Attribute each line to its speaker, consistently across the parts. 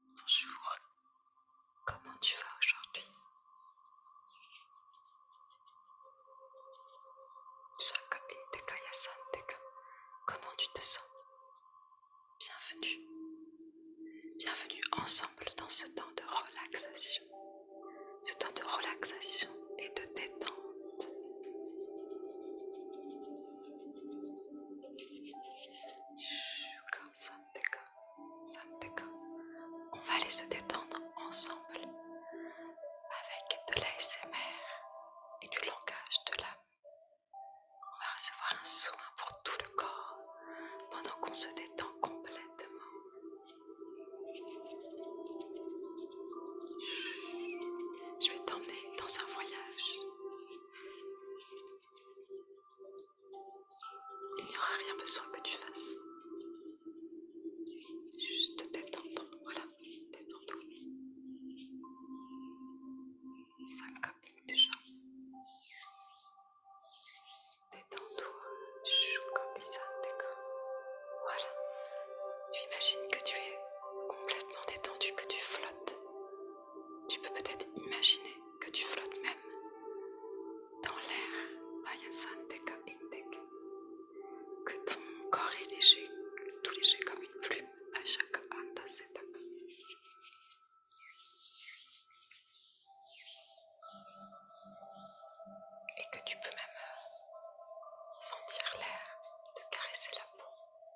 Speaker 1: Bonjour, comment tu vas aujourd'hui Comment tu te sens Bienvenue. Bienvenue ensemble dans ce temps de relaxation. Ce temps de relaxation et de détente. On va aller se détendre ensemble avec de l'ASMR et du langage de l'âme. On va recevoir un soin pour tout le corps pendant qu'on se détend complètement. Je vais t'emmener dans un voyage. Il n'y aura rien besoin que tu fasses. Juste t'étendre, voilà, t'étends-toi, Cinq déjà. Détends-toi, comme ça, d'accord Voilà. Tu imagines que tu es complètement détendu, que tu flottes. Tu peux peut-être imaginer que tu flottes même dans l'air, que ton corps est léger, tout léger comme une plume à chaque Et que tu peux même sentir l'air de caresser la peau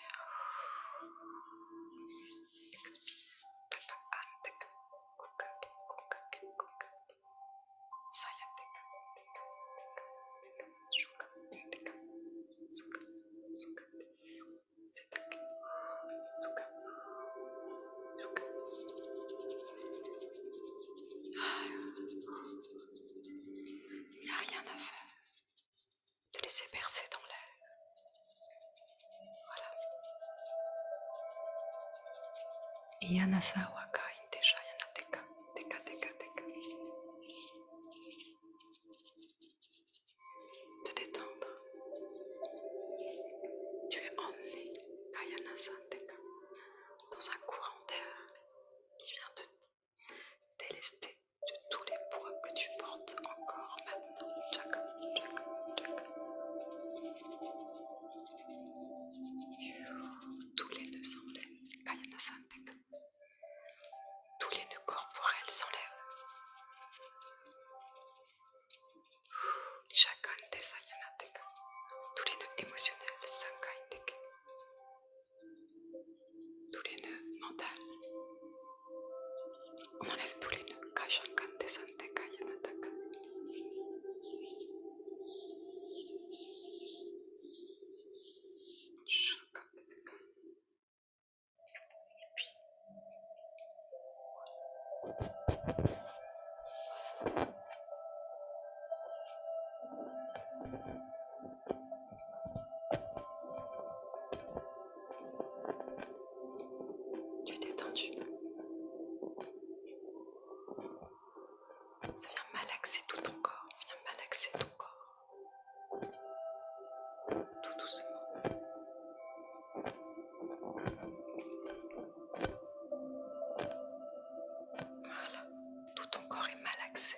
Speaker 1: Il n'y a rien à faire de laisser percer dans l'air. Voilà. Yanasawa kain deja yanateka, teka teka teka. Te détendre. Tu es emmené à Yanasanteka dans un courant d'air qui vient te Délesté de tous les poids que tu portes encore maintenant, Tous les nœuds s'enlèvent, Tous les nœuds corporels s'enlèvent. Chacun des Tous les nœuds émotionnels, tous les nœuds mental on enlève tous les nœuds cachants quand des antécédents yannataka tu es détendu. Ça vient malaxer tout ton corps. Viens malaxer ton corps. Tout doucement. Voilà, tout ton corps est malaxé.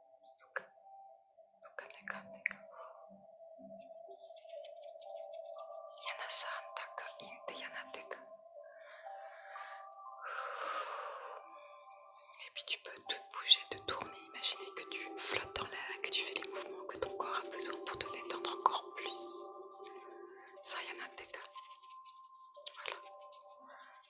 Speaker 1: yana Teka. Et puis tu peux tout bouger, te tourner, imaginer que tu flottes dans l'air et que tu fais les mouvements que ton corps a besoin pour te détendre encore plus. Ça, Teka. Voilà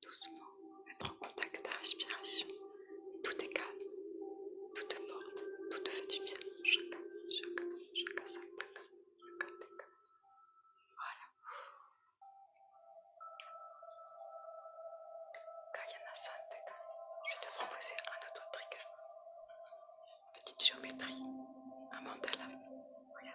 Speaker 1: Doucement, être en contact de respiration. Tout est calme, tout te porte, tout te fait du bien. Chaka, chaka, chaka, chaka sataka. Voilà. Kayana Santaka. Je vais te proposer un autre trigger. Petite géométrie, un mandala. Voilà.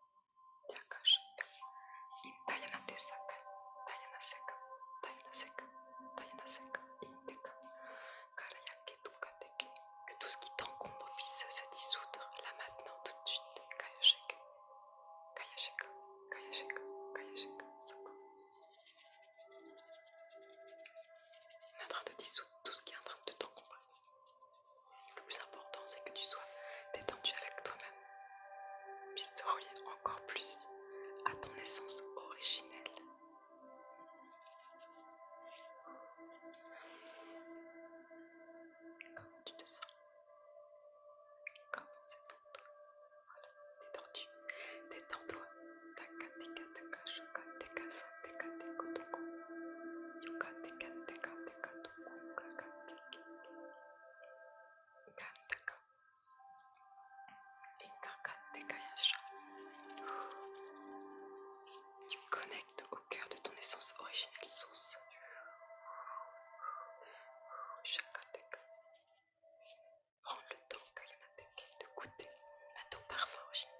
Speaker 1: yaklaşık in dayanatsak dayanasak dayanasak dayanasak indik karaya ketukatek que tout ce qui t'encombre puisse se dissoudre là maintenant tout de suite kayashek kayashek kayashek kayashek soko on en train de dissoudre tout ce qui est en train de t'encombrer le plus important, c'est que tu sois détendu avec toi-même, puisse te relier encore plus à ton essence originelle. Comment tu te sens Comment c'est pour toi Voilà, détendu. détends-toi. Taka, teka, taka, shoka, teka, sa, teka, teko, toko. Yoka, teka, teka, teka. Tu connectes au cœur de ton essence originelle source Prends le temps de goûter à ton parfum originel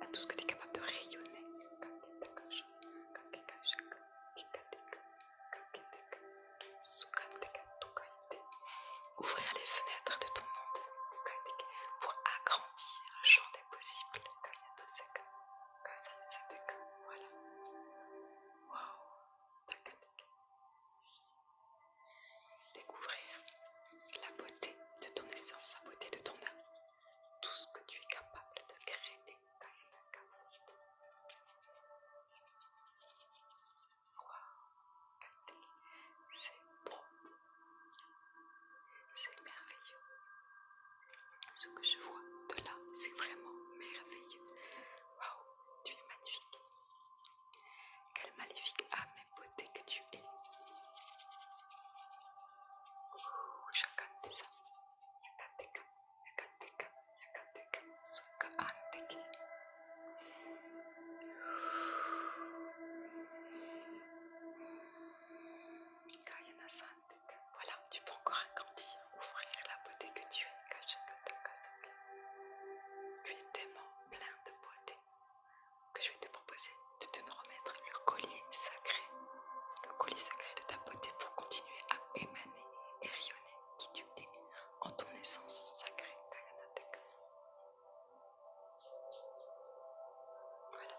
Speaker 1: à tout ce que tu es capable de rayonner. Ouvrir les fenêtres de ton monde pour agrandir le champ des possibles voilà. Découvrir la beauté de ton essence, la beauté de ton âme, tout ce que tu es capable de créer. c'est beau c'est merveilleux. Ce que je vois de là, c'est vraiment merveilleux. Waouh, tu es magnifique. Quelle magnifique âme et beauté que tu es. Kayana-san, voilà, tu peux encore agrandir, ouvrir la beauté que tu es Tu es tellement plein de beauté que je vais te proposer de te me remettre le collier sacré, le collier sacré de ta beauté pour continuer à émaner et rayonner qui tu es en ton essence sacrée. Voilà.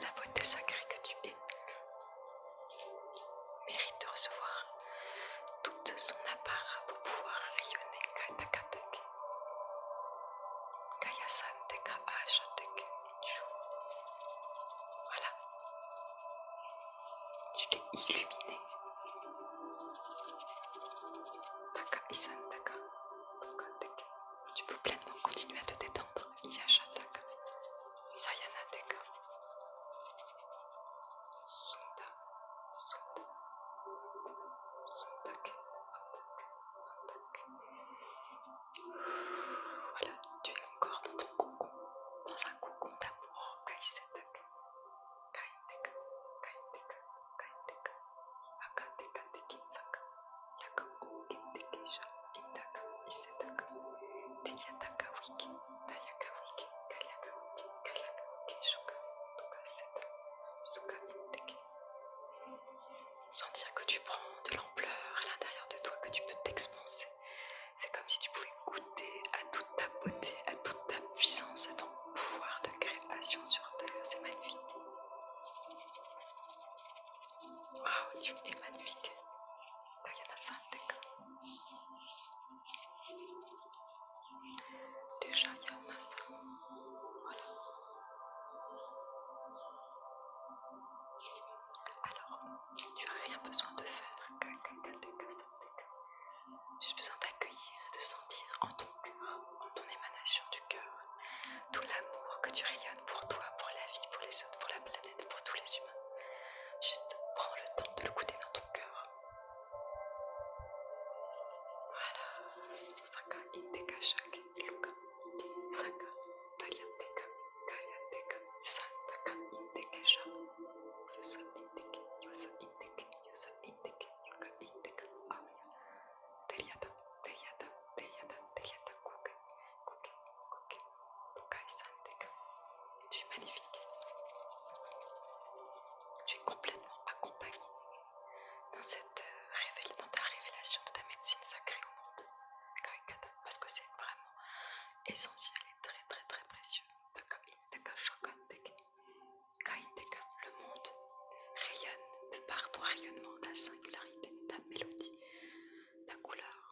Speaker 1: la beauté sacrée que tu es mérite de recevoir toute son apparence pour pouvoir rayonner Teka Voilà. Tu l'es illuminée. Taka Isan Taka. Tu peux pleinement continuer à te détendre. Sayana Sunda, Sunda, Voilà, tu es encore dans ton cocon, dans un cocon d'amour, Kaiteka, Kaiteka, Kaiteka, sentir que tu prends de l'ampleur à l'intérieur de toi que tu peux t'expanser c'est comme si tu pouvais goûter à toute ta beauté à toute ta puissance à ton pouvoir de création sur terre c'est magnifique Waouh, tu es magnifique. Quand il y a Déjà, il y a Voilà. Alors, tu n'as rien besoin de faire. Juste besoin d'accueillir et de sentir en ton cœur, en ton émanation du cœur, tout l'amour que tu rayonnes pour toi, pour la vie, pour les autres, pour la planète pour tous les humains. Juste prends le temps de le goûter dans ton cœur. Voilà. Saka Inteka Shak Luka Saka Tariateka Kariateka Santaka Intekesha Yosa Inteke Yosa Inteke Yosa Inteke Yoka Inteka Amaya Teriata Teriata Teriata Teriata Kuka tu es magnifique, tu es complètement accompagné dans cette euh, dans ta révélation de ta médecine sacrée au monde, parce que c'est vraiment essentiel et très très très précieux. Le monde rayonne de par ton rayonnement, ta singularité, ta mélodie, ta couleur,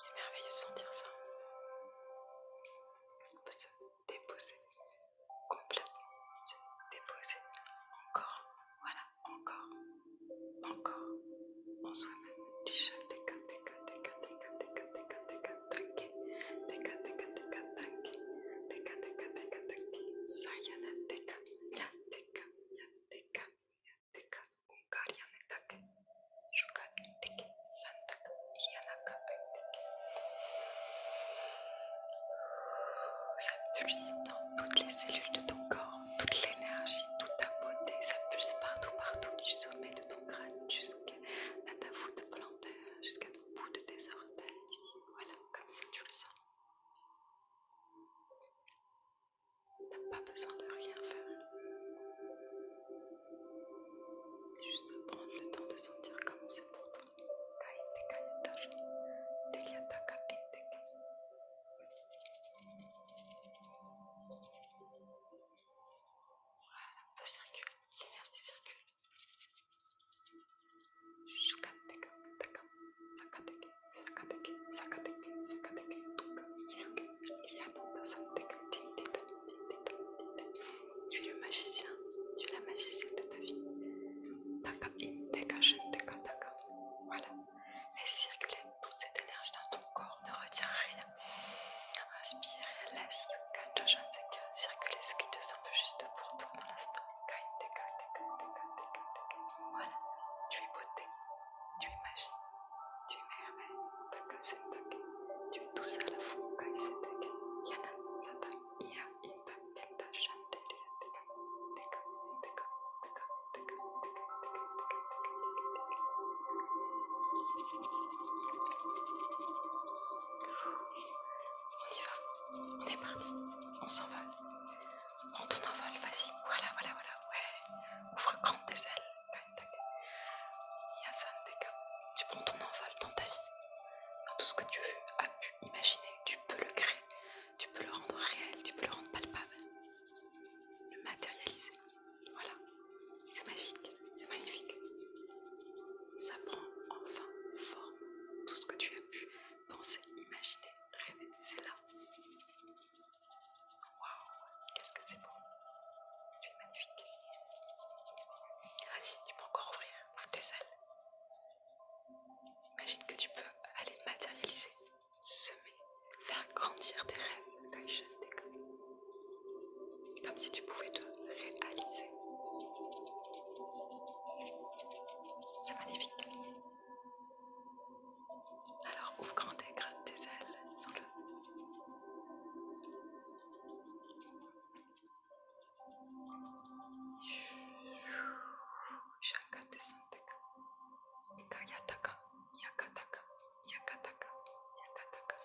Speaker 1: c'est merveilleux de sentir ça. On peut se déposer complètement, se déposer encore, voilà, encore, encore en soi-même. Ça pulse dans toutes les cellules de ton corps, toute l'énergie, toute ta beauté, ça pulse partout, partout, du sommet de ton crâne jusqu'à ta voûte plantaire, jusqu'à ton bout de tes orteils. Voilà, comme ça tu le sens. T'as pas besoin de rien faire. Juste prendre le temps de sentir comment c'est pour toi. Eh, voilà, ça circule, les nerfs circulent. Shukateka, taka, sakateke, sakateke, sakateke, sakateke, tuka, tu es le magicien, tu es la magicienne de ta vie. Voilà. Laisse circuler toute cette énergie dans ton corps, ne retiens rien. Inspire et laisse circuler ce qui te semble juste pour toi dans l'instant. Voilà, tu es beauté, tu imagines, tu imagines, tu tu es tout ça à la fois, on y va, on est parti, on s'envole, prends ton envol, vas-y, voilà, voilà, voilà, ouais, ouvre grand tes ailes, tu prends ton envol dans ta vie, dans tout ce que tu as pu imaginer, tu peux le créer, tu peux le rendre réel, tu peux le rendre palpable, le matérialiser. Voilà, c'est magique, c'est magnifique. Ça prend enfin forme. Tout ce que tu as pu penser, imaginer, rêver, c'est là. Waouh, qu'est-ce que c'est beau! Tu es magnifique! Vas-y, tu peux encore ouvrir, ouvre tes ailes. Imagine que tu peux aller matérialiser, semer, faire grandir tes rêves, Comme si tu pouvais te réaliser. C'est magnifique! Alors ouvre grand et gratte tes ailes, sans le Yakataka, yakataka, yakataka, yakataka.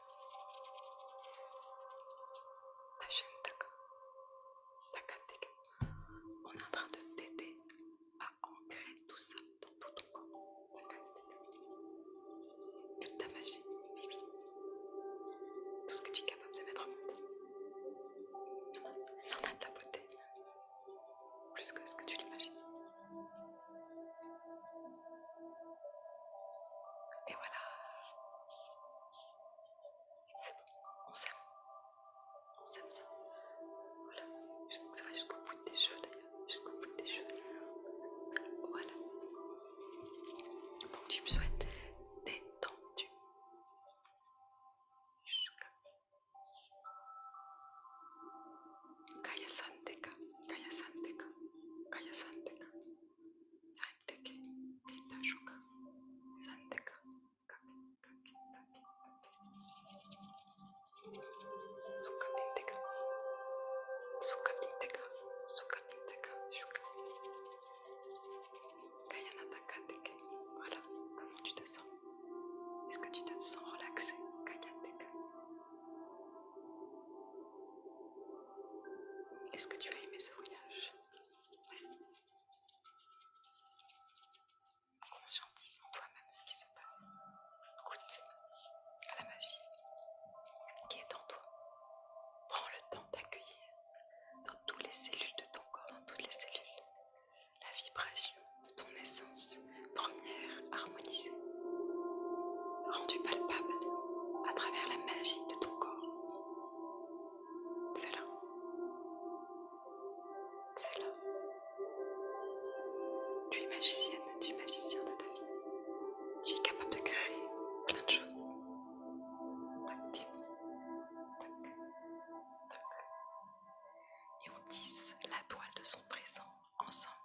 Speaker 1: On est en train de t'aider à ancrer tout ça dans tout ton corps, toute ta magie, mais oui, tout ce que tu es capable de mettre en en a de la beauté, plus que ce que tu l'imagines. Et voilà, c'est bon, on s'aime, on s'aime ça. Voilà, je que ça va jusqu'au bout des jeux d'ailleurs jusqu'au bout des cheveux. Voilà. tu me souhaites détendu. Kaya Santeka, Kaya Santeka, Kaya Santeka, Santeke, Santeka, Suka Intega, Suka Intega, Suka Intega, Suka. Kayanata Kateke. Voilà, comment tu te sens Est-ce que tu te sens relaxé Kayanateka. Est-ce que tu as aimé ce voyage conscientise en toi-même ce qui se passe. écoute à la magie qui est en toi. Prends le temps d'accueillir dans toutes les cellules de ton corps, dans toutes les cellules, la vibration de ton essence première harmonisée, rendue palpable à travers la magie de ton corps. C'est là. C'est là. Tu es magicienne, tu es magicien de ta vie. Tu es capable de créer plein de choses. tac, tac. Et on tisse la toile de son présent ensemble,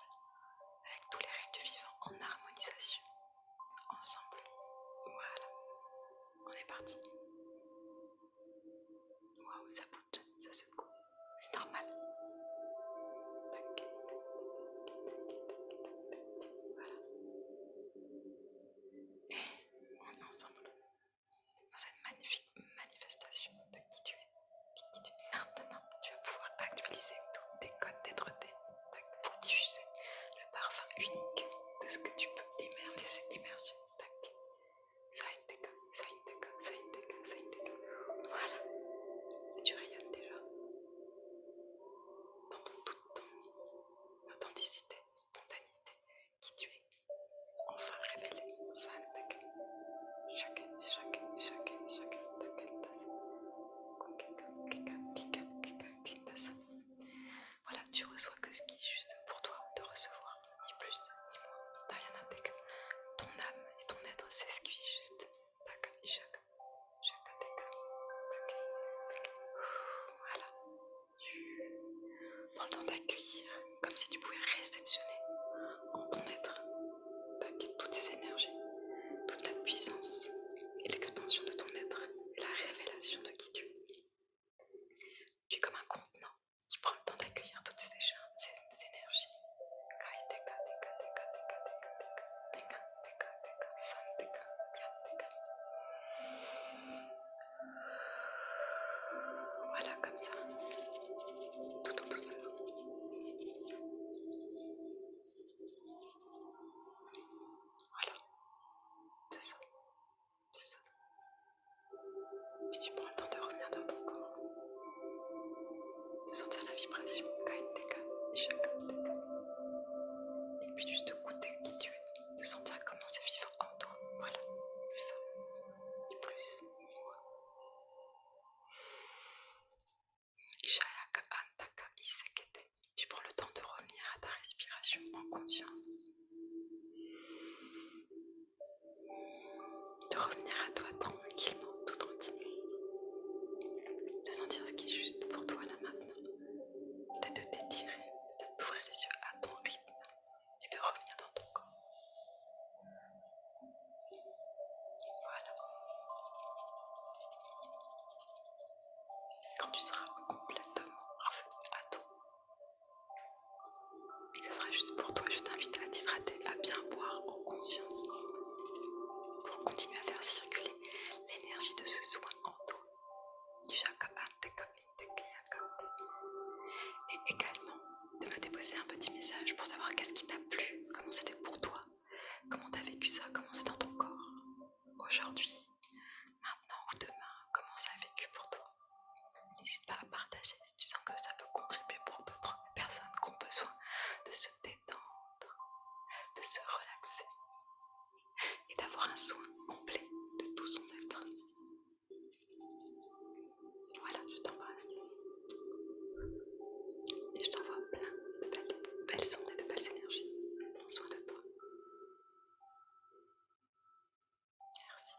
Speaker 1: avec tous les règles du vivant en harmonisation. Ensemble. Voilà. On est parti. Waouh, ça bouge, ça secoue. C'est normal. Et on est ensemble dans cette magnifique manifestation de qui tu es. Maintenant, tu vas pouvoir actualiser tous tes codes dêtre pour diffuser le parfum unique de ce que tu peux émerger, laisser émerger. Ça intègre, ça intègre, ça ça Voilà. Et tu rayonnes déjà. Dans ton, toute ton authenticité, spontanéité, qui tu es. Enfin révélé, ça intègre. Chaque, chaque, chaque, chaque, voilà, tu reçois que ce qui est juste pour toi de recevoir, ni plus, ni moins. T'as rien dire. Ton âme et ton être s'esquit juste. Tac, et chaque, Voilà. Prends le temps d'accueillir, comme si tu pouvais réceptionner en ton être toutes ces énergies, toute la puissance et l'expansion de ton être et la révélation de qui tu es. Tu es comme un contenant tu prend le temps d'accueillir toutes ces, ces énergies. Voilà, comme ça, tout en douceur. Voilà, c'est ça, ça. Puis tu prends le temps de revenir dans ton corps de sentir la vibration et Et puis juste goûter qui tu es, de sentir comment c'est vivre en toi. Voilà, ça, ni plus ni moins. Antaka Tu prends le temps de revenir à ta respiration en conscience de revenir à toi tranquillement, tout tranquillement, de sentir ce qui est juste pour toi là maintenant, de t'étirer, peut-être d'ouvrir les yeux à ton rythme et de revenir dans ton corps. Voilà. Quand tu seras complètement revenu à toi, ce sera juste pour toi, je t'invite à t'hydrater, à bien boire en conscience pour continuer à faire circuler l'énergie de ce soin en toi. Et également de me déposer un petit message pour savoir qu'est-ce qui t'a plu, comment c'était pour toi, comment t'as vécu ça, comment c'est dans ton corps aujourd'hui, maintenant ou demain, comment ça a vécu pour toi. N'hésite pas à partager si tu sens que ça peut contribuer pour d'autres personnes qui ont besoin de se détendre, de se relaxer et d'avoir un soin complet de tout son être. Voilà, je t'embrasse. Et je t'envoie plein de belles, ondes et de belles énergies. Prends soin de toi. Merci.